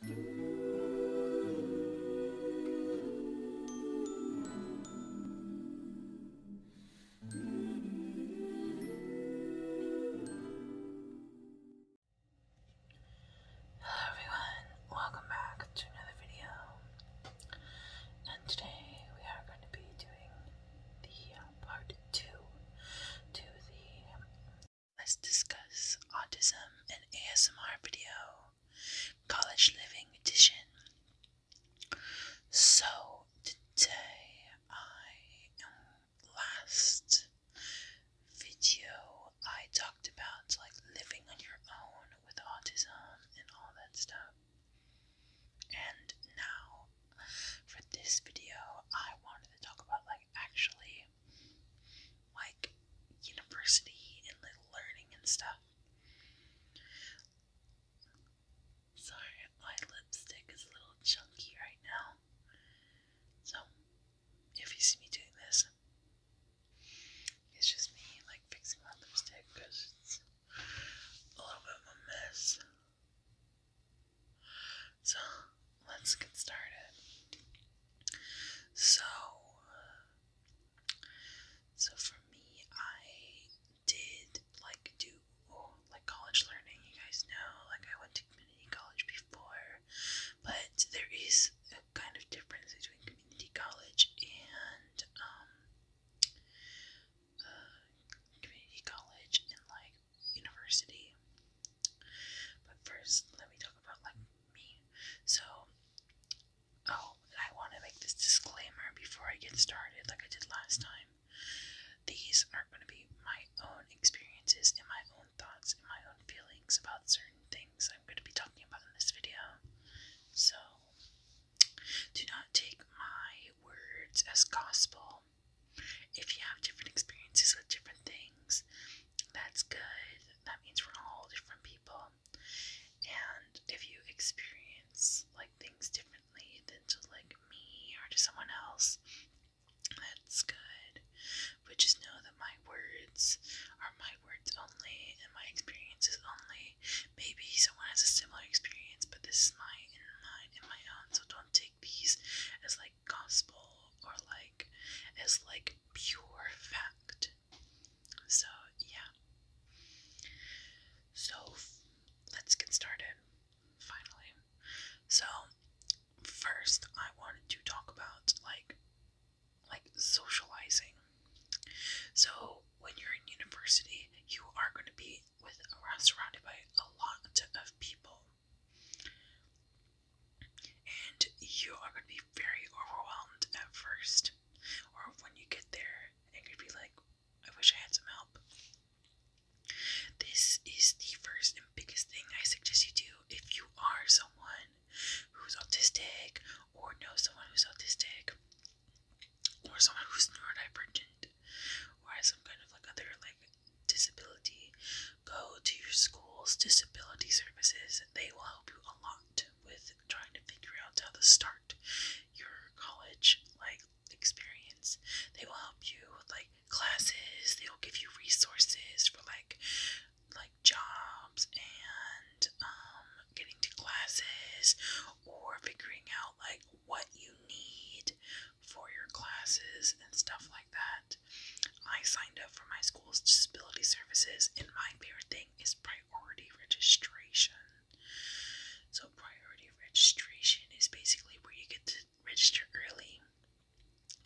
Hello everyone, welcome back to another video. And today we are going to be doing the uh, part two to the um, Let's discuss autism and ASMR video, college living edition. So, today I last video I talked about like living on your own with autism and all that stuff. And now for this video I wanted to talk about like actually like university and like learning and stuff. Sorry, my lipstick is a little chunky right now. So, if you see me doing this, it's just me like fixing my lipstick because it's a little bit of a mess. So, let's get started. So, so for me, I did like do oh, like college learning. You guys know, like I went to community college before, but there is a kind of difference between community college and um, uh, community college and like university. But first, let me talk about like me. So, oh, I want to make this disclaimer before I get started, like I did last time. These are going to be my own experiences and my own thoughts and my own feelings about certain things I'm going to be talking about in this video. So, do not take my words as gospel. If you have different experiences with different things, that's good. That means we're all different people. And if you experience like things differently than to like me or to someone else, that's good. But just know that my words are my words only and my experiences only. Maybe someone has a similar experience, but this is my and mine and my own. So don't take these as like gospel or like as like pure fact. So, yeah. So, let's get started finally. So, first I wanted to talk about like like socializing. So, when you're in university, you are going to be with around surrounded by a lot of people. And you are going to be very overwhelmed at first, or when you get there, it could be like, I wish I had some help. This is the first and biggest thing I suggest you do if you are someone who's autistic, or know someone who's autistic, or someone who's neurodivergent, or has some kind of like other like disability, go to your school's disability services. They will help you a lot with trying to figure out how to start your college like experience. They will help you with like classes, they will give you resources for like like jobs and um getting to classes or figuring out like what you need for your classes and stuff like that. I signed up for my school's disability services, and my favorite thing is priority registration. So, priority registration is basically where you get to register early,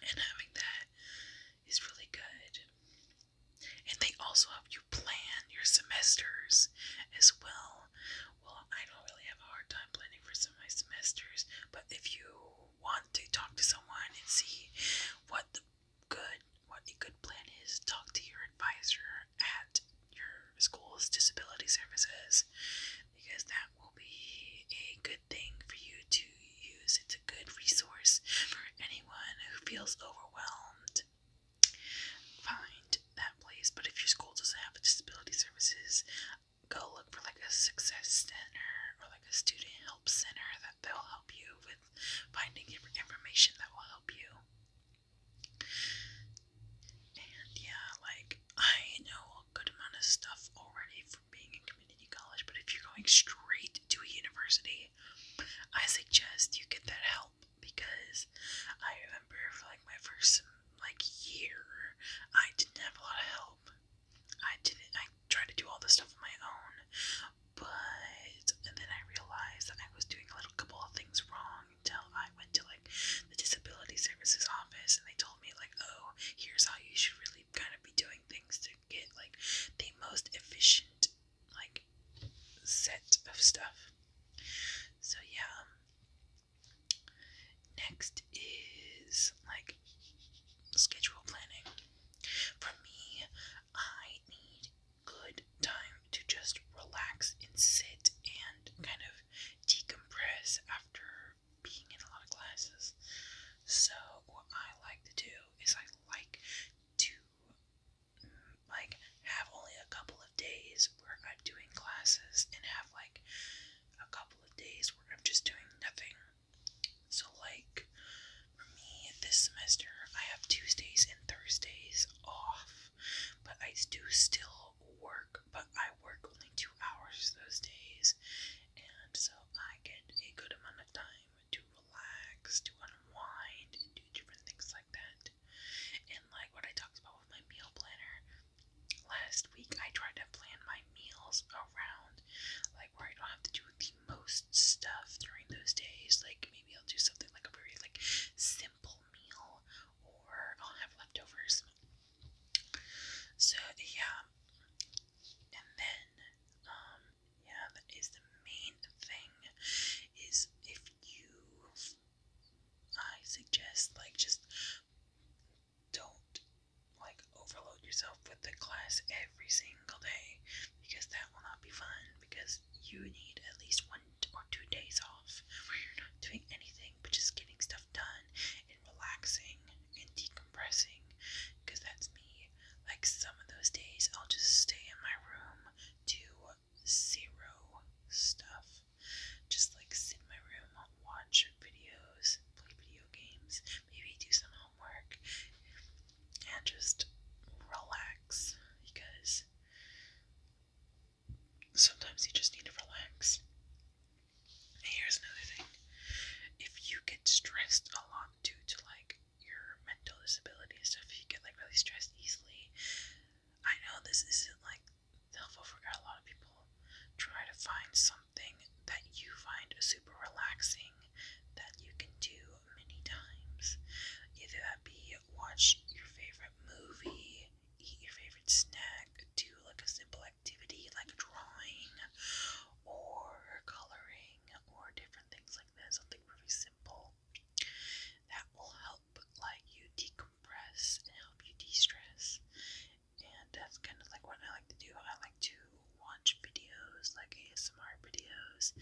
and having that is really good. And they also help you plan your semesters as well. Well, I don't really have a hard time planning for some of my semesters, but if you want to talk to someone and see what the good what a good plan is. Talk to your advisor at your school's disability services because that will be a good thing for you to use. It's a good resource for anyone who feels overwhelmed. Find that place, but if your school doesn't have a disability services, go look for like a success center or like a student help center that they'll help you with finding information that will help you. And yeah, like I know a good amount of stuff already from being in community college, but if you're going straight to a university, I suggest you get that help because I remember for like my first like year, I didn't have a lot of help. I didn't. I tried to do all this stuff on my own, but and then I realized that I was doing a little couple of things wrong until I went to like the disability services office, and they told me like, oh, here's how you should really kind of be doing things to get like the most efficient like set of stuff. So yeah. Um, Next is like schedule planning. For me, I need good time to just relax and sit and kind of decompress after being in a lot of classes. So what I like to do is I like to like have only a couple of days where I'm doing classes and have like a couple of days where I'm just doing nothing so, like, for me this semester, I have Tuesdays and Thursdays off, but I do still work, but I work only two hours those days, and so I get a good amount of time to relax, to unwind, and do different things like that. And, like, what I talked about with my meal planner. Last week, I tried to plan my meals around, like where I don't have to do the most stuff during those days. Like maybe I'll do something like a very like simple meal, or I'll have leftovers. So yeah, and then um, yeah, that is the main thing. Is if you, I suggest like just don't like overload yourself with the class every single day because that will not be fun because you need at least one or two days off where you're not doing anything but just getting stuff done and relaxing and decompressing because that's me like some of those days I'll just stay in my room do zero stuff just like sit in my room watch videos play video games maybe do some homework and just relax because sometimes you just need to relax. Here's another thing if you get stressed a lot due to like your mental disability and stuff, you get like really stressed easily. I know this isn't like helpful for a lot of people Try to find something that you find super relaxing that you can do many times. Either that be watch your favorite movie, eat your favorite snack, do like a simple activity like drawing or coloring or different things like that, something really simple. That will help like you decompress and help you de-stress and that's kind of like what I like to do. I like to watch videos like ASMR videos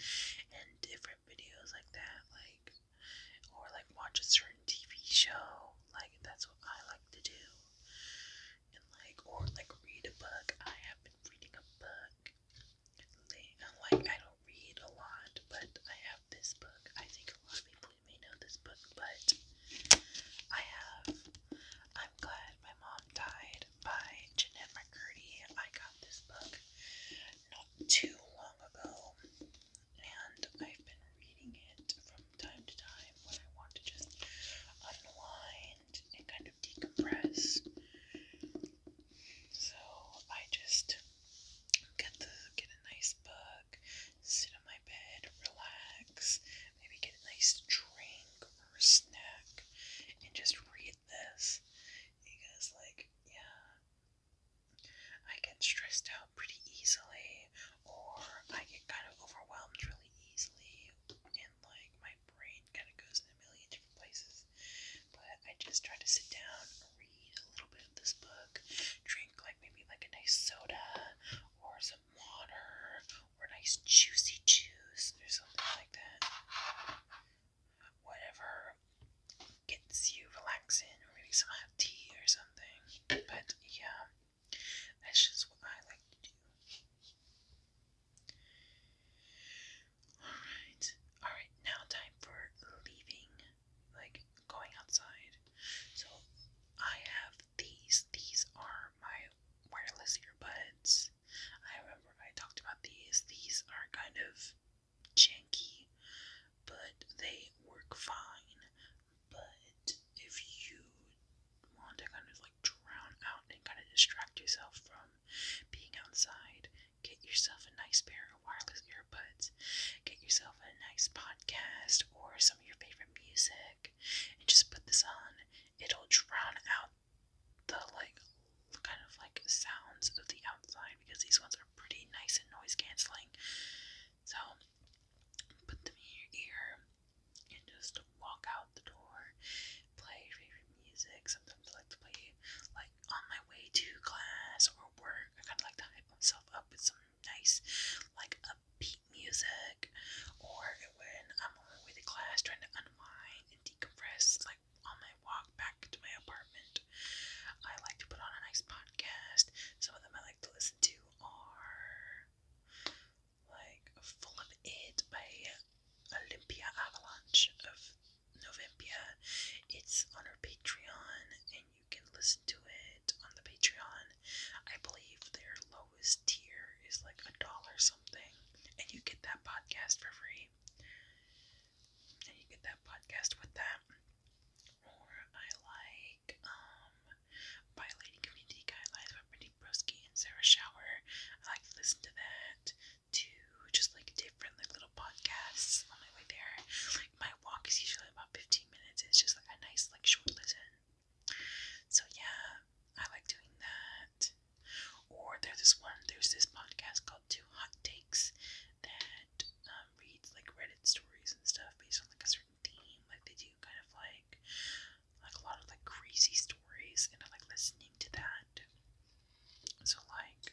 and different videos like that, like or like watch a certain TV show. Like that's what I like to do, and like or like read a book. I have been reading a book. Like I don't read a lot, but I have this book. I think a lot of people may know this book, but I have. I'm glad my mom died by Jeanette McCurdy. I got this book not too long ago, and I've been reading it from time to time when I want to just unwind and kind of decompress. So I just get the get a nice book, sit on my bed, relax, maybe get a nice drink or snack and just read this because, like, yeah, I get stressed out pretty easily, or I get kind of overwhelmed really easily, and like my brain kind of goes in a million different places. But I just try to sit down, read a little bit of this book, drink like maybe like a nice soda or some water or nice juicy juice or something like that. Whatever gets you relaxing, or maybe some hot tea or something. But yeah, that's just what I like to do. Alright, alright, now time for leaving, like going outside. So I have these. These are my wireless earbuds. I remember I talked about these. These are kind of janky, but they work fine. But if you want to kind of like drown out and kind of distract yourself from being outside, get yourself a nice pair of wireless earbuds, get yourself a nice podcast or some of your favorite music and just put this on, it'll drown out the like kind of like sounds of the outside because these ones are pretty nice and noise canceling. So put them in your ear and just walk out the door, play your favorite music. Sometimes I like to play like on my way to class or work. I kinda like to hype myself up with some nice, like upbeat music, or when I'm with a class trying to unwind and decompress, like on my walk back to my apartment, I like to put on a nice podcast. Some of them I like to listen to are like Full of It by Olympia Avalanche of Novembia. It's on her Patreon, and you can listen to it on the Patreon. I believe their lowest tier is like a dollar something, and you get that podcast for free. And you get that podcast with that. Or I like um Violating Community Guidelines by Brittany Broski and Sarah Shower. I like to listen to that too, just like different like little podcasts on my way there. Like my walk is usually about fifteen minutes. It's just like a nice like short listen. So yeah, I like doing that. Or there's this one, there's this podcast called Two Hot Takes that um, reads like Reddit stories and stuff based on like a certain theme. Like they do kind of like like a lot of like crazy stories, and I like listening to that. So like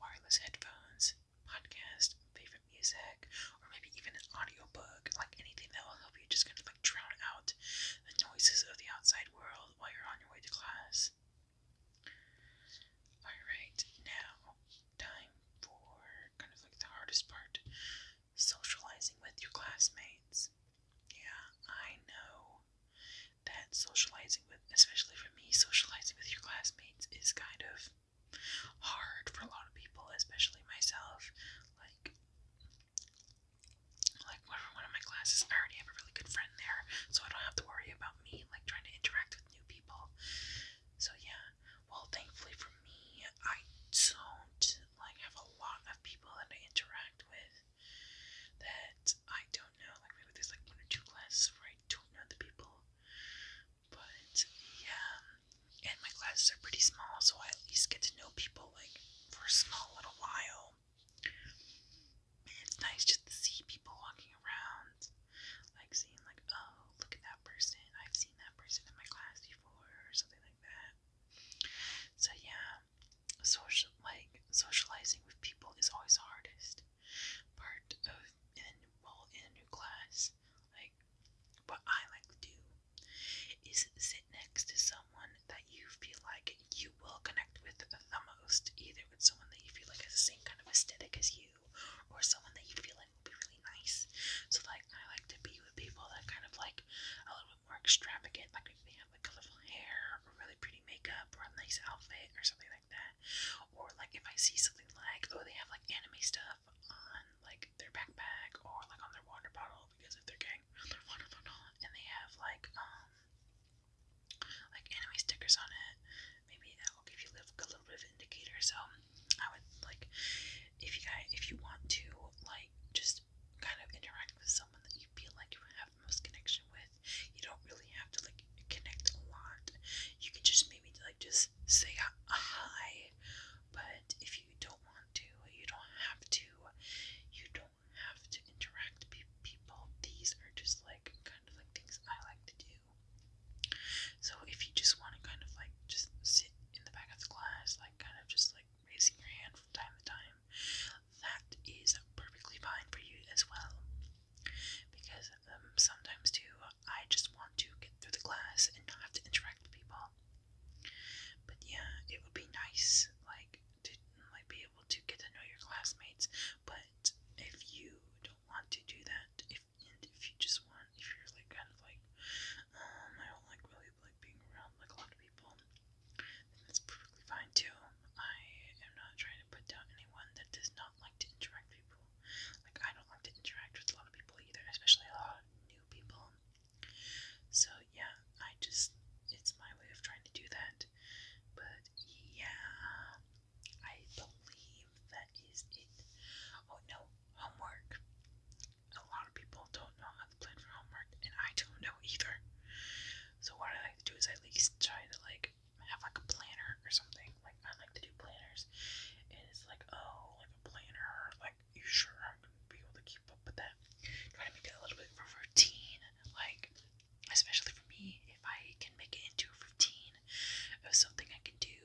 wireless headphones, podcast, favorite music, or maybe even an audiobook, like anything that will help you just kind of like drown out the noises of the outside world while you're on your way to class. Alright, now time for kind of like the hardest part socializing with your classmates. Yeah, I know that socializing with, especially for me, socializing with your classmates is kind of hard for a lot of people, especially myself. Like, like one of my classes, I already have a really good friend there, so I don't have to worry about me like trying to interact with new people. So yeah, well, thankfully for me, I don't like have a lot of people that I interact with that I don't know. Like maybe there's like one or two classes where I don't know the people, but yeah, and my classes are pretty small, so I at least get to know people like for a small little while. it's nice just to see people walking around, like seeing like, oh, look at that person. I've seen that person in my class before, or something like that. So yeah, social like socializing with people is always the hardest part of in well in a new class. Like what I like to do is sit next to someone that you feel like you will connect with the most, either with someone that you feel like has the same kind of aesthetic as you, or someone that you feel like will be really nice. So, like, I like to be with people that kind of like a little bit more extravagant, like if they have like colorful hair, or really pretty makeup, or a nice outfit, or something like that. Or, like, if I see something like, oh, they have like anime stuff, on like their backpack or like on their water bottle because if they're getting and they have like um like anime stickers on it, maybe that will give you like, a little bit of indicator. So I would like if you guys if you want to like just kind of interact with someone that you feel like you have the most connection with. You don't really have to like connect a lot. You can just maybe like just say hi. But if you don't want to, you don't have to. You don't have to interact with people. These are just like kind of like things I like to do. So if you just want to kind of like just sit in the back of the class, like kind of just like raising your hand from time to time, that is perfectly fine for you as well. Because um, sometimes too, I just want to get through the class and not have to interact with people. But yeah, it would be nice, like, to like be able to get to know your classmates. But if you don't want to do that, if if you just want, if you're like kind of like, um, I don't like really like being around like a lot of people, that's perfectly fine too. I am not trying to put down anyone that does not like to interact people. Like I don't like to interact with a lot of people either, especially a lot new people. So yeah, I just it's my way of trying to do that. But yeah, I believe that is it. Oh no, homework. A lot of people don't know how to plan for homework, and I don't know either. So what I like to do is at least try to like have like a planner or something, like I like to do planners, and it's like oh, like a planner, like you sure I'm gonna be able to keep up with that? Try to make it a little bit for a routine, like especially for me, if I can make it into a routine of something I can do,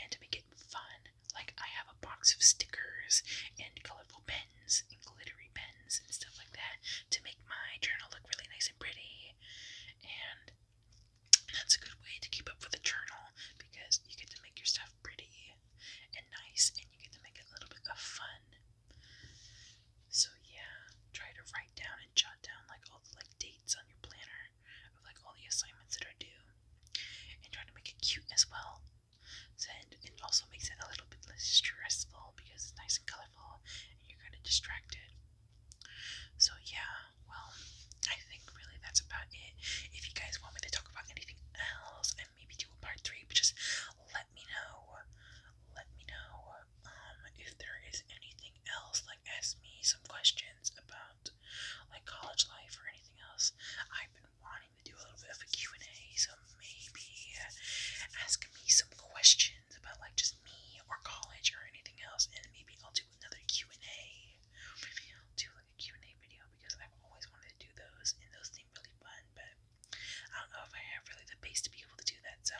and to make it fun, like I have a box of stickers and colorful pens and glittery pens and stuff like that to make my journal look really nice and pretty, and that's a good way to keep up with the journal because you get to make your stuff pretty and nice and you get to make it a little bit of fun. So yeah, try to write down and jot down like all the like dates on your planner of like all the assignments that are due. And try to make it cute as well. and it also makes it a little bit less stressful because it's nice and colorful and you're kind of distracted. So yeah, well, I think really that's about it. If you guys want me to talk about anything else and maybe do a part three, but just let me know. Let me know um if there is anything else, like ask me some questions about like college life or anything else. I've been wanting to do a little bit of a Q&A, so maybe ask me some questions about like just me or college or anything else, and maybe I'll do another Q&A. Maybe I'll do Q&A video because I've always wanted to do those and those seem really fun, but I don't know if I have really the base to be able to do that. So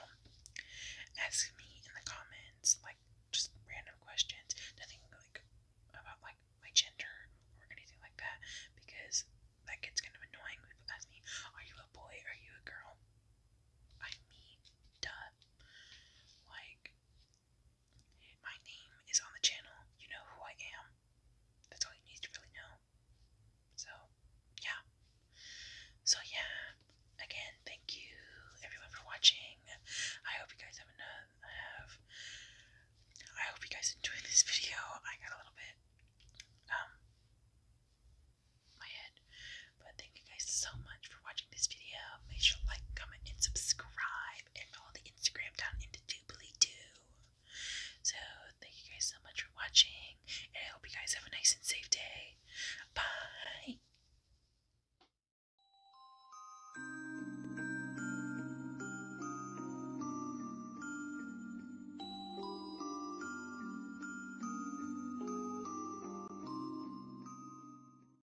ask me in the comments, like just random questions, nothing like about like my gender or anything like that, because that gets kind of annoying. People ask me, "Are you a boy? Are you a girl?" I'm me, duh. Like my name is on the channel. You know who I am. That's all you need to really know. So, yeah. So, yeah. Again, thank you everyone for watching. I hope you guys have enough. I hope you guys enjoyed this video. I got a little bit um my head, but thank you guys so much for watching this video. Make sure like, comment, and subscribe and all the Instagram down into doobly doo. So thank you guys so much for watching, and I hope you guys have a nice and safe day. Bye.